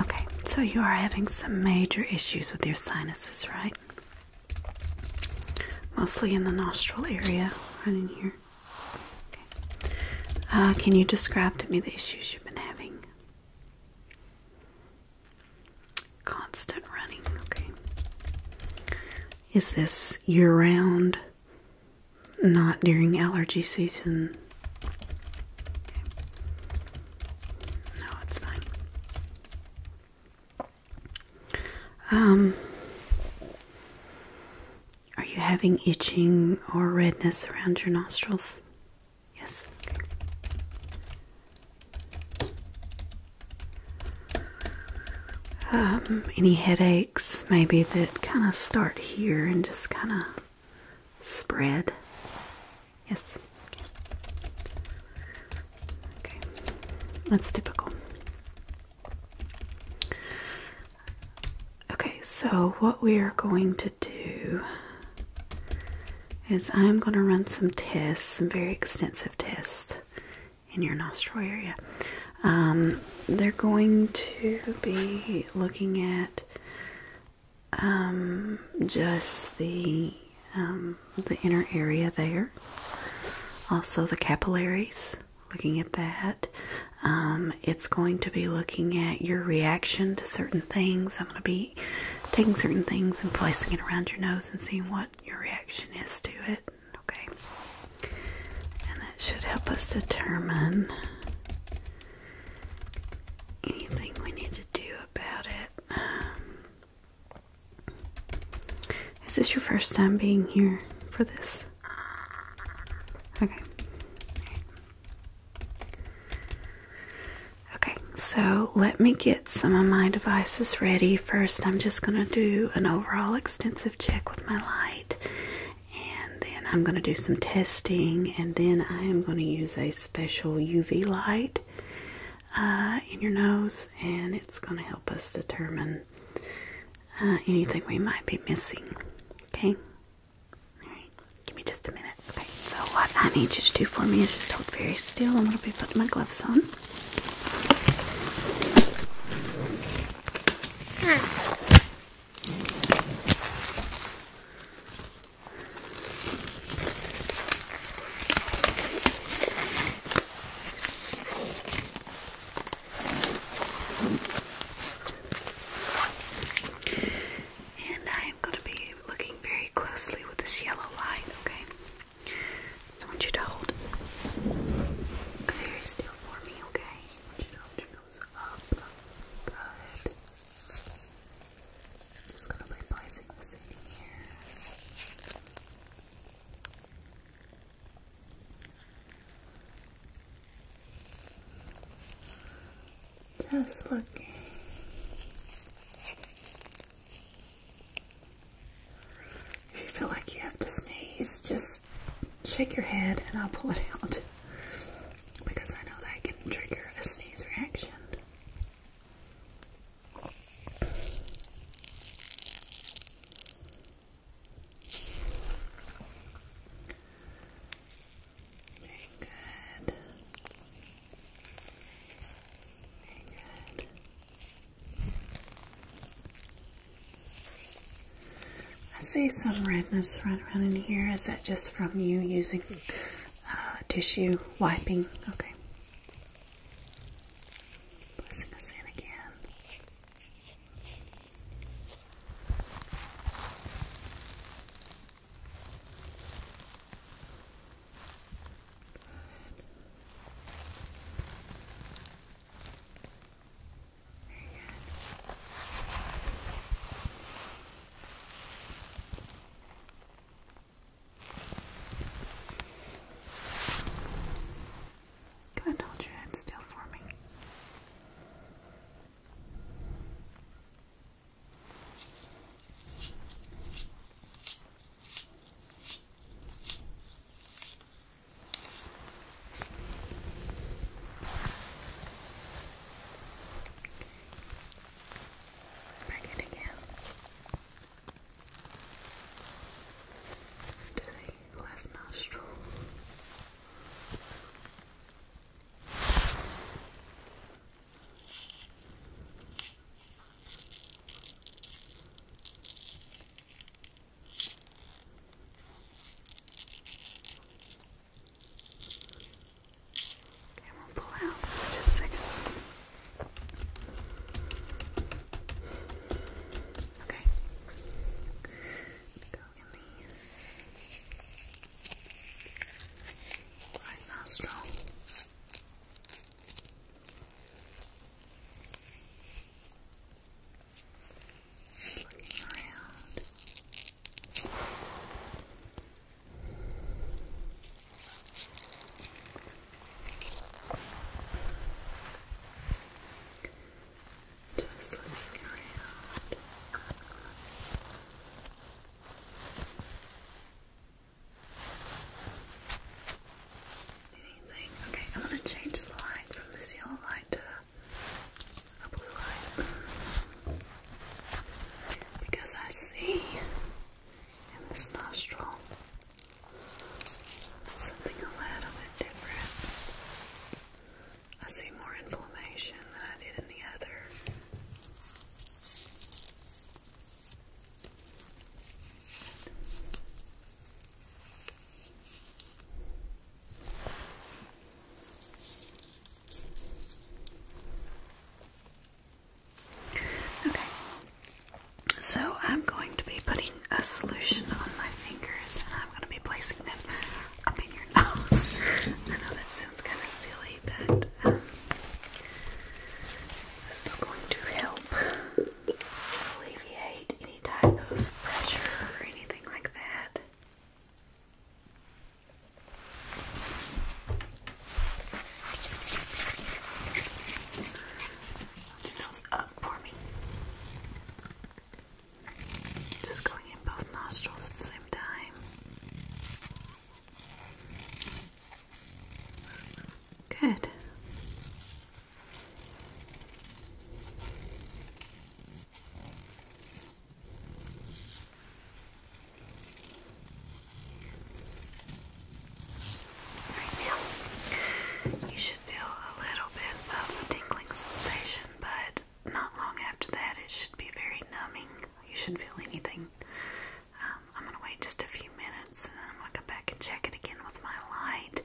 Okay, so you are having some major issues with your sinuses, right? Mostly in the nostril area, right here. Uh, can you describe to me the issues you've been having? Constant running, okay. Is this year round? not during allergy season. No, it's fine. Um, are you having itching or redness around your nostrils? Yes. Um, any headaches maybe that kind of start here and just kind of spread. Yes. Okay. That's typical. Okay, so what we are going to do is I'm going to run some tests, some very extensive tests in your nostril area. Um, they're going to be looking at um, just the um, the inner area there. Also the capillaries. Looking at that, um, it's going to be looking at your reaction to certain things. I'm going to be taking certain things and placing it around your nose and seeing what your reaction is to it. Okay, and that should help us determine anything we need to do about it. Um, is this your first time being here for this? Okay. Okay, so let me get some of my devices ready. First, I'm just going to do an overall extensive check with my light and then I'm going to do some testing, and then I am going to use a special UV light uh, in your nose, and it's going to help us determine uh, anything we might be missing. Okay. Give me just a minute. Okay. So what I need you to do for me is just hold very still. I'm going to be putting my gloves on. Hmm. And I am going to be looking very closely with this yellow light, okay? I want you to hold very still for me, okay? up. Good. just gonna be placing this in here. Just looking. If you feel like you have to sneeze, just shake your head and I'll pull it out because I know that can trigger a sneeze reaction. Very good. Very good. I see some redness right around in here. Is that just from you using uh, tissue wiping? Okay. Pressing us in again. Very good. hold your head still for me. Back it again to the left nostril. Okay, we'll pull out just a second. Okay. Go in the right nostril. Just looking around. Just looking around. Just Okay, I'm gonna change the light from this yellow light to a blue light because I see in this nostril something a little bit different. I see more inflammation than I did in the other. Okay, so I'm going to be putting a solution on my fingers and I'm going to be placing them up in your nose. I know that sounds kind of silly, but um, this is going to help alleviate any type of pressure or anything like that. Your nose up for me. Just going in both nostrils at the same time. Good. Right now, you should feel a little bit of a tingling sensation, but not long after that, it should be very numbing. You shouldn't feel anything. Um, I'm gonna wait just a few minutes and then I'm gonna come back and check it again with my light,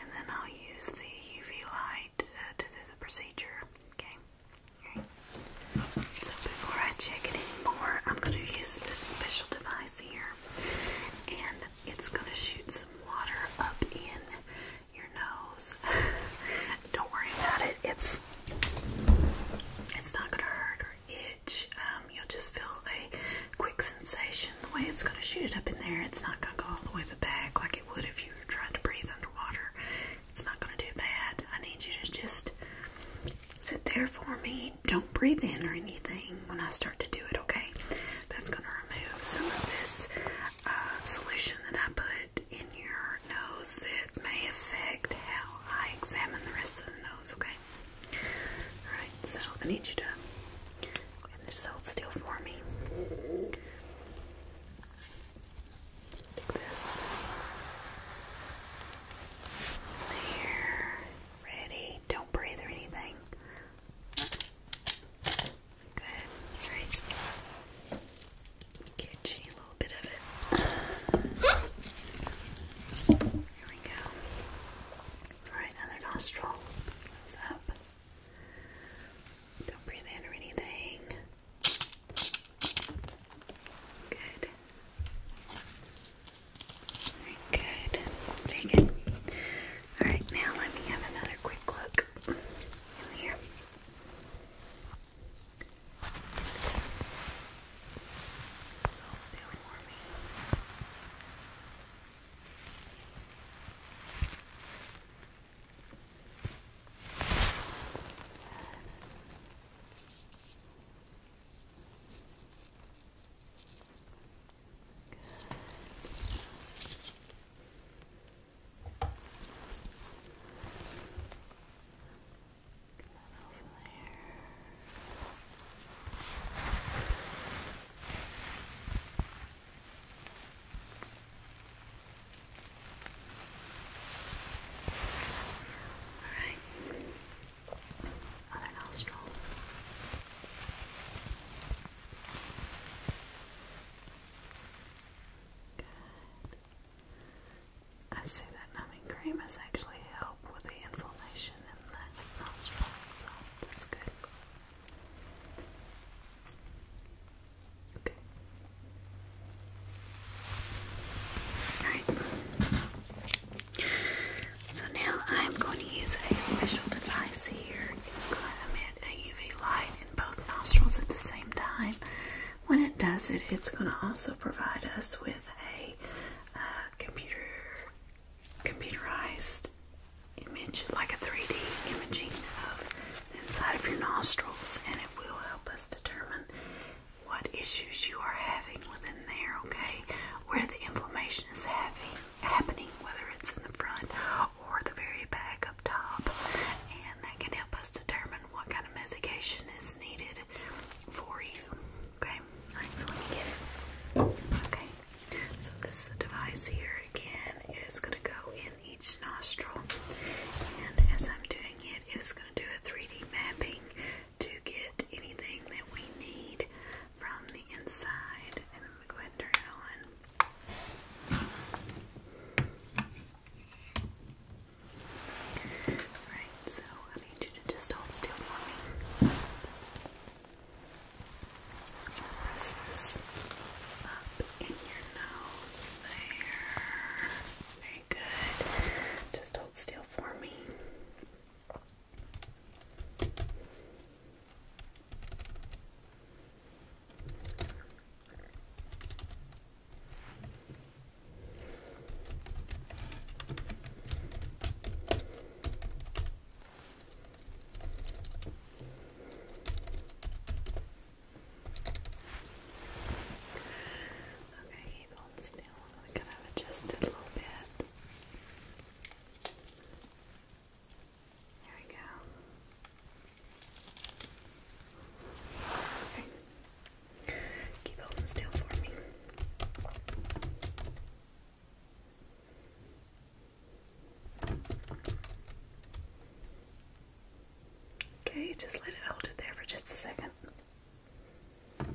and then I'll use the UV light uh, to do the procedure. Okay. So before I check it anymore, I'm gonna use this special device here, and it's gonna shoot some water up in your nose. Don't worry about it. It's it's not gonna hurt or um, you'll just feel a quick sensation. The way it's going to shoot up in there, it's not going to go all the way the back like it would if you were trying to breathe underwater. It's not going to do that. I need you to just sit there for me. Don't breathe in or anything when I start to do it, okay? That's going to remove some of this uh, solution that I put in your nose that may affect how I examine the rest of the nose, okay? Alright, so I need you to and just hold still for me. this. There. Ready. Don't breathe or anything. Good. Alright. Get you a little bit of it. Here we go. Alright, other nostril goes up. Don't breathe in or anything. Good. good. Alright, now let me have another quick look here. So still for me. Good. Then over there. Alright. Good. I see that numbing cream has actually helped with the inflammation and that nostril, so that's good. Okay. So now I'm going to use a special device here. It's going to emit a UV light in both nostrils at the same time. When it does it, it's going to also provide us with a uh, computer computerized image, like a 3D imaging of inside of your nostrils, and it will help us determine what issues you are having within there, okay? Where the inflammation is having, happening, whether it's in the front or the very back up top, and that can help us determine what kind of medication is needed for you. Okay, alright, let me get it. Okay, so this is the device here again. It is going to go in each nostril, and as I'm doing it, it is going to do a 3D mapping to get anything that we need from the inside. And I'm going to go ahead and turn it on. Alright, so I need you to just hold still for me. just gonna press this up in your nose there. Very good. Just hold still for me. Okay, keep on still. I'm gonna adjust it a little bit. There we go. Okay. Okay, just let it hold it there for just a second. Okay,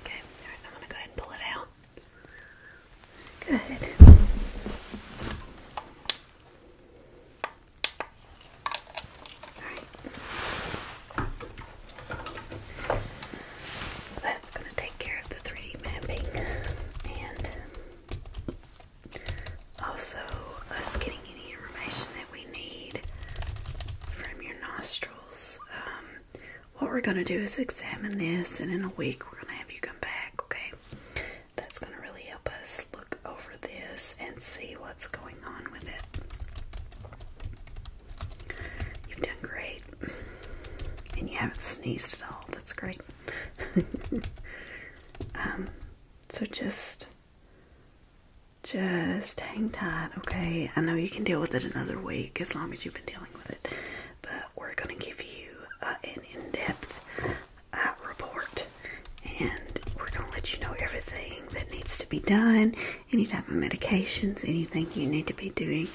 okay. Alright, I'm gonna go ahead and pull it out. Good. All right. So that's going to take care of the 3D mapping and also us getting any information that we need from your nostrils. Um, what we're gonna do is examine this, and in a week we're gonna have you come back, okay? That's gonna really help us look over this and see what's going on with it. You've done great, and you haven't sneezed at all. That's great. um, so just. Just hang tight, okay? I know you can deal with it another week as long as you've been dealing with it but we're going to give you uh, an in depth uh, report and we're going to let you know everything that needs to be done, any type of medications, anything you need to be doing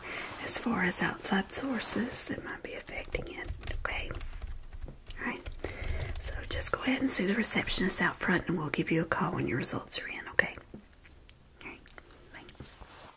as far as outside sources that might be affecting it. Okay? Alright? So just go ahead and see the receptionist out front and we'll give you a call when your results are in, okay? All right. Bye.